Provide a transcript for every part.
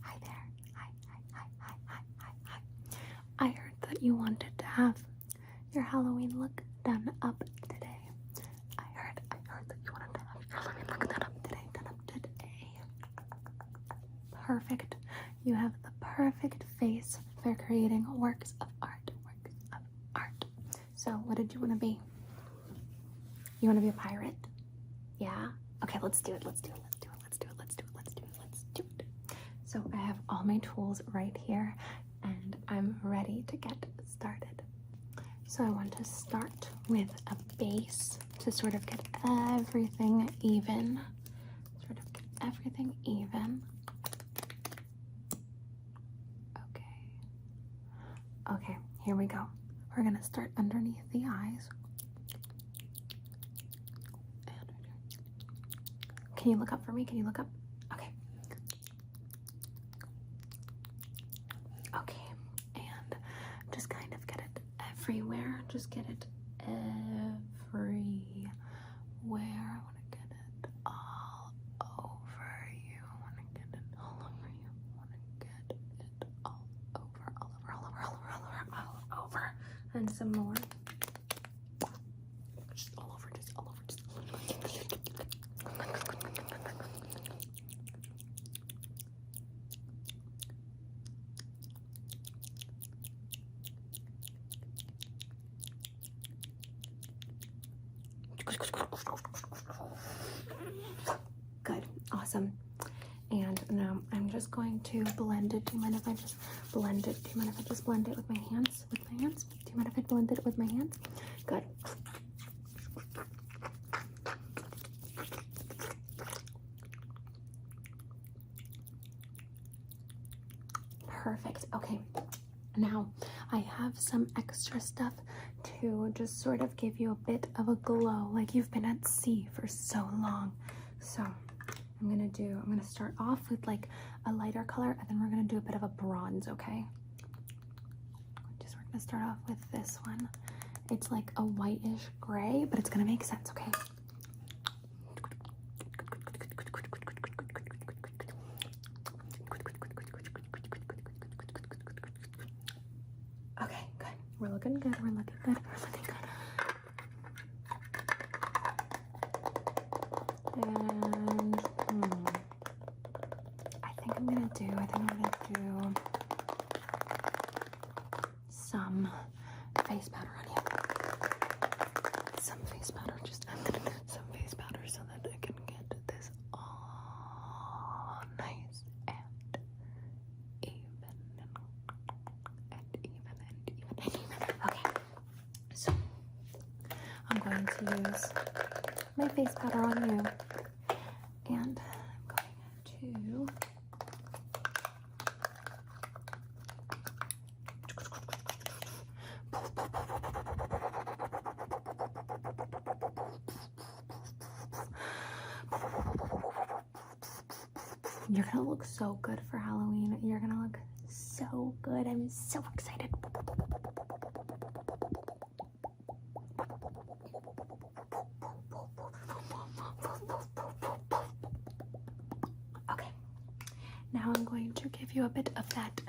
Hi there. Hi, hi, hi, hi, hi, hi, hi. I heard that you wanted to have your Halloween look done up today. I heard, I heard that you wanted to have your Halloween look done up today, done up today. Perfect. You have the perfect face for creating works of art, works of art. So, what did you want to be? You want to be a pirate? Yeah? Okay, let's do it. Let's do it. Let's do it. Let's do it. Let's do it. Let's do it. Let's do it. So I have all my tools right here and I'm ready to get started. So I want to start with a base to sort of get everything even. Sort of get everything even. Okay. Okay, here we go. We're gonna start underneath the eyes. Can you look up for me? Can you look up? Okay. Okay, and just kind of get it everywhere. Just get it everywhere. I want to get it all over you. I want to get it all over you all over, all over, all over, all over, all over, all over, and some more. Just all over, just all over, just all over. Good, awesome. And now I'm just going to blend it. Do you mind if I just blend it? Do you mind if I just blend it with my hands? With my hands? Do you mind if I blend it with my hands? Good. Perfect. Okay. Now I have some extra stuff to just sort of give you a bit of a glow like you've been at sea for so long. So I'm gonna do, I'm gonna start off with like a lighter color and then we're gonna do a bit of a bronze, okay? Just we're gonna start off with this one. It's like a whitish gray, but it's gonna make sense, okay? Okay, good. We're looking good. We're looking good. We're looking good. And hmm, I think I'm gonna do. I think I'm gonna do some face powder on you. Some face powder. Just some face powder so that I can get this all nice and even and even and even and even. Okay, so I'm going to use my face powder on you, and I'm going to. You're gonna look so good for Halloween. You're gonna look so good. I'm so excited. Okay, now I'm going to give you a bit of that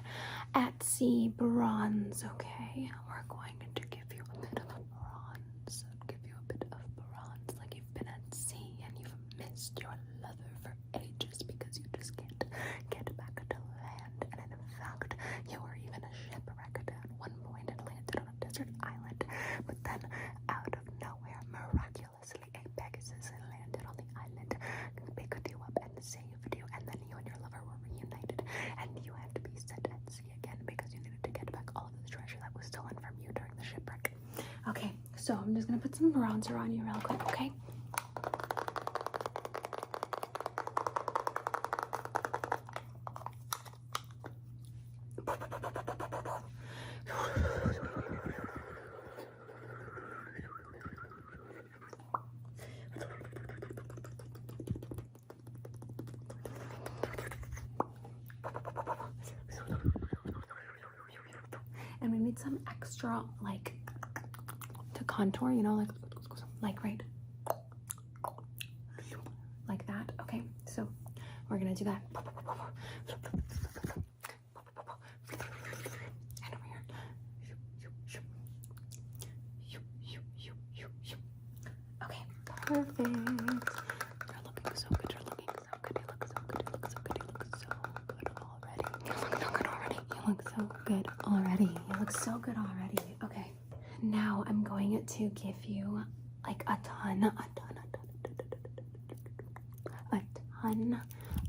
Etsy bronze, okay? We're going I'm going to give you a bit of a bronze, give you a bit of bronze, like you've been at sea and you've missed your lover for ages because you just can't get back to land. And in fact, you were even a shipwrecked at one point and landed on a desert island. But then, out of nowhere, miraculously, a Pegasus landed on the island, picked you up, and saved and then you and your lover were reunited, and you had to be set at sea again because you needed to get back all of the treasure that was stolen from you during the shipwreck. Okay, so I'm just gonna put some bronzer on you real quick, okay? And we need some extra like to contour, you know, like like right like that. Okay, so we're gonna do that. Okay, perfect. You're looking so good. You're looking so good. You look so good. You look so good. You look so good already. You look so good already. You look so good already. You look so good already. Okay. Now I'm going to give you like a ton, a ton, a ton, a ton,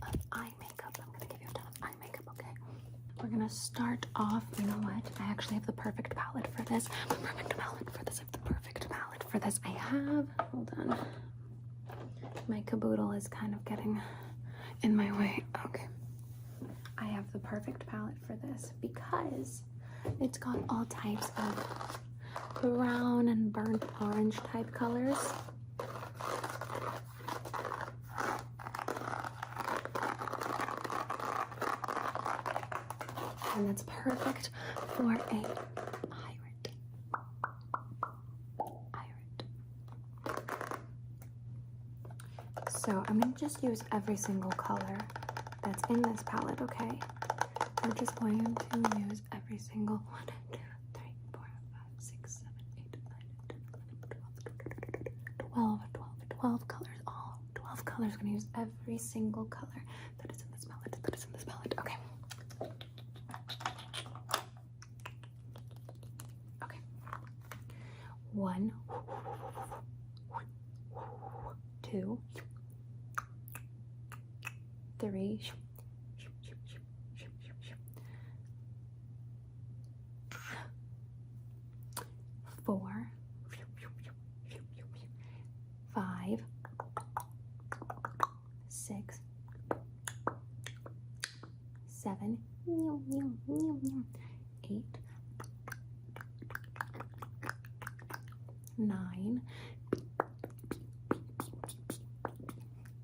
of eye makeup. I'm gonna give you a ton of makeup, okay? We're gonna start off, you know what? I actually have the perfect palette for this. I have the perfect palette for this. I have, hold on. My caboodle is kind of getting in my way. Okay. I have the perfect palette for this because it's got all types of brown and burnt orange type colors. And that's perfect for a pirate. So I'm going to just use every single color that's in this palette, okay? I'm just going to use every single one, two, three, four, five, six, seven, eight, nine, 12, colors. All 12 colors. gonna use every single color that is in this palette. That is in this palette. Okay. Okay. One, two, three, four, five, six, seven, eight, nine,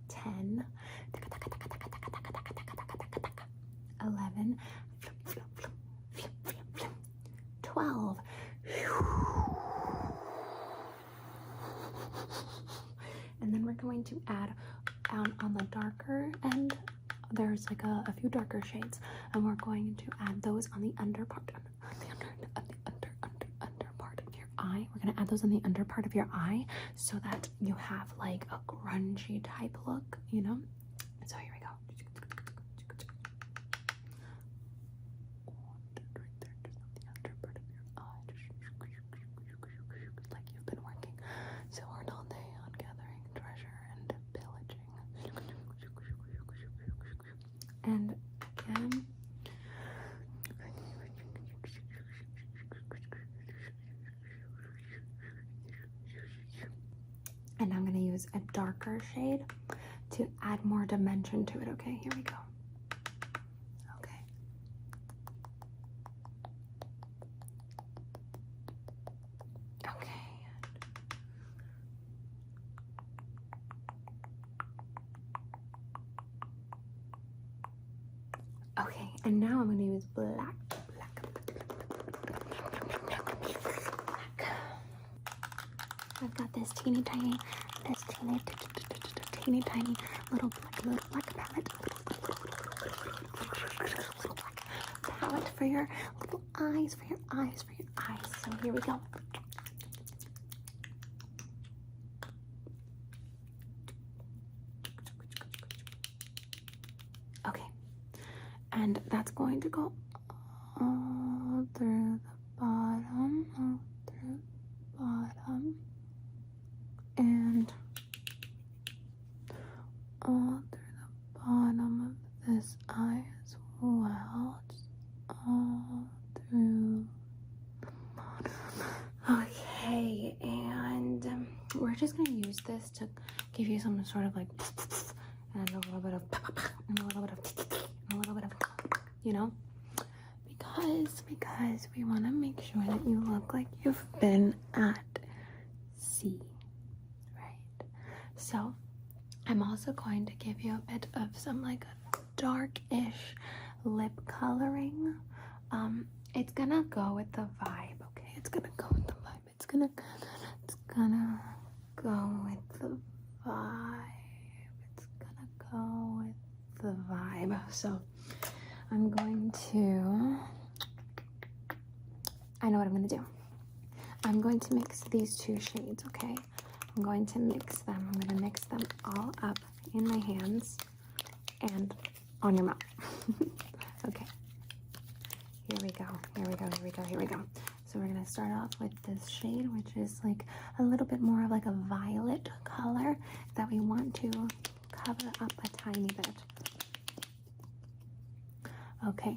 10 11 12 and then we're going to add out on the darker end there's like a, few darker shades and we're going to add those on the under part of your eye we're going to add those on the under part of your eye so that you have like a grungy type look, you know? So here we go. like you've been working so hard all day on gathering treasure and pillaging. And again. Um, and I'm going to use a darker shade to add more dimension to it. Okay, here we go. Okay. Okay. Okay, and now I'm gonna use black, I've got this teeny tiny, this teeny, tiny little black, black palette, palette for your little eyes, for your eyes, for your eyes. So here we go. Okay, and that's going to go all through the bottom, all through bottom, and all through the bottom of this eye as well. all through Okay, and um, we're just gonna use this to give you some sort of like and a little bit of and a little bit of and a little bit of you know because because we want to make sure that you look like you've been at sea right so i'm also going to give you a bit of some like darkish lip coloring um, it's gonna go with the vibe, okay? It's gonna go with the vibe. It's gonna it's gonna go with the vibe. It's gonna go with the vibe. So I'm going to I know what I'm gonna do. I'm going to mix these two shades, okay? I'm going to mix them. I'm going to mix them all up in my hands and on your mouth. okay. Here we go. Here we go. Here we go. Here we go. So we're gonna start off with this shade, which is like a little bit more of like a violet color that we want to cover up a tiny bit. Okay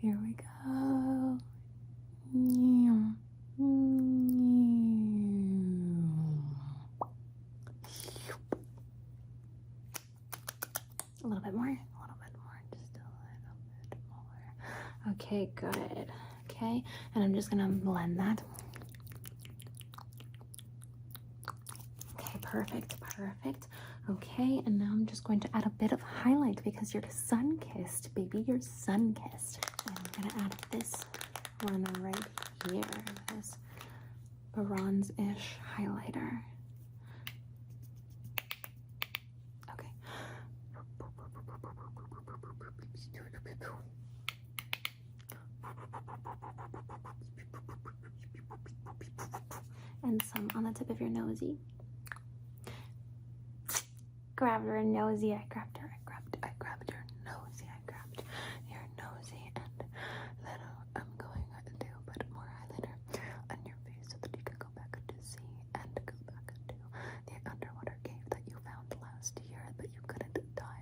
Here we go. A little bit more, a little bit more, Okay, good. Okay, and I'm just gonna blend that. Okay, perfect, perfect. Okay, and now I'm just going to add a bit of highlight because you're sun kissed, baby. You're sun kissed. And I'm gonna add this one right here, this bronze ish highlighter. Okay and some on the tip of your nosy. Grabbed her nosy, I grabbed her, I grabbed, I grabbed your nosy, I grabbed your nosy, and little, I'm going to put more highlighter on your face so that you can go back to sea and go back to the underwater cave that you found last year, but you couldn't dive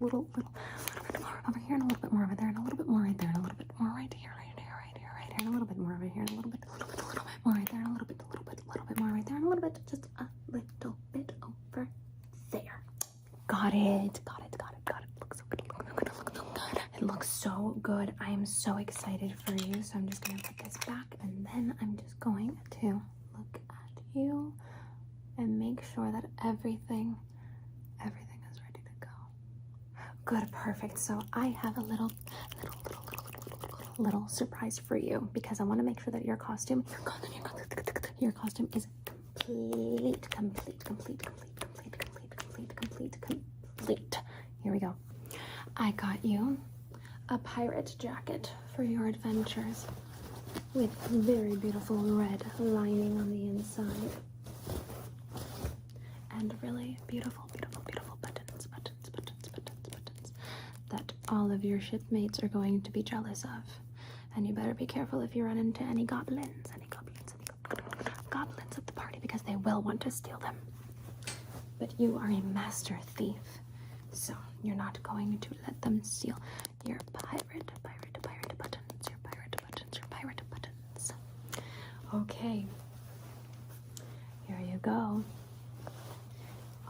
little, little, little, little bit more over here, and a little bit more over there, and a little bit more right there, and a little bit more right here, right here, right here, right here, and a little bit more over here, and a little bit, a little bit, a little bit more right there, and a little bit, a little bit, a little bit more right there, and a little bit, just a little bit over there. Got it, got it, got it, got it. Looks looks so good. It looks so good. I am so excited for you. So I'm just gonna put this back, and then I'm just going to look at you and make sure that everything Everything is ready to go. Good, perfect. So I have a little, little, little, little, little, little surprise for you because I want to make sure that your costume, your costume, your costume, your costume is complete, complete, complete, complete, complete, complete, complete, complete, complete. Here we go. I got you a pirate jacket for your adventures with very beautiful red lining on the inside. And really beautiful, beautiful, beautiful buttons, buttons, buttons, buttons, buttons that all of your shipmates are going to be jealous of. And you better be careful if you run into any goblins, any goblins, any goblins at the party because they will want to steal them. But you are a master thief, so you're not going to let them steal your pirate, pirate, pirate buttons, your pirate buttons, your pirate buttons. Okay, here you go.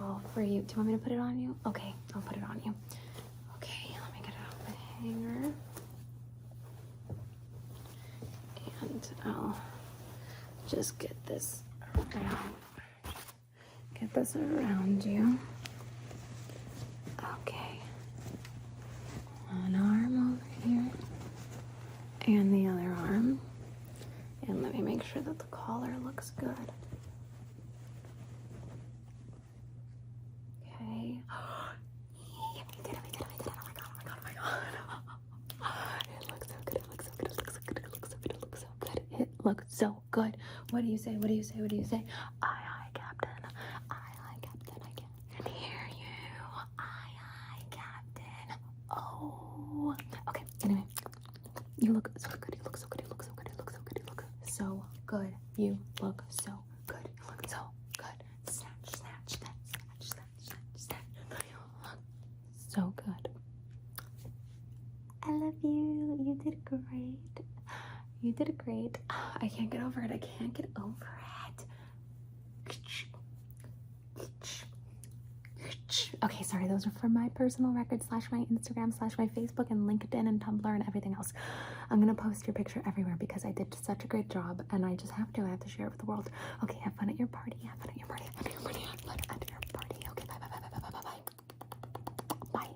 All for you. Do you want me to put it on you? Okay, I'll put it on you. Okay, let me get it off the hanger. And I'll just get this around. Get this around you. Okay. One arm over here and the other arm. And let me make sure that the collar looks good. Okay. Oh my god, oh my god, oh my god. it looks so good, it looks so good, it looks so good, it looks so good, it looks so so good. What do you say? What do you say? What do you say? Aye, aye, Captain. Aye, aye, Captain. I can hear you. Aye, aye, Captain. Oh. Okay, anyway. You look so good. You look so good. You look so good. You look so good. You look so good. You look so good. You look so good. Snatch, snatch, snatch, snatch, snatch, snatch, snatch. You look so good. I love you. You did great. You did great. I can't get over it. I can't get over it. Okay, sorry. Those are for my personal record slash my Instagram slash my Facebook and LinkedIn and Tumblr and everything else. I'm gonna post your picture everywhere because I did such a great job and I just have to. I have to share it with the world. Okay, have fun at your party. Have fun at your party. Have fun at your party. Have fun at your party. Okay, bye bye bye bye bye bye bye. Bye.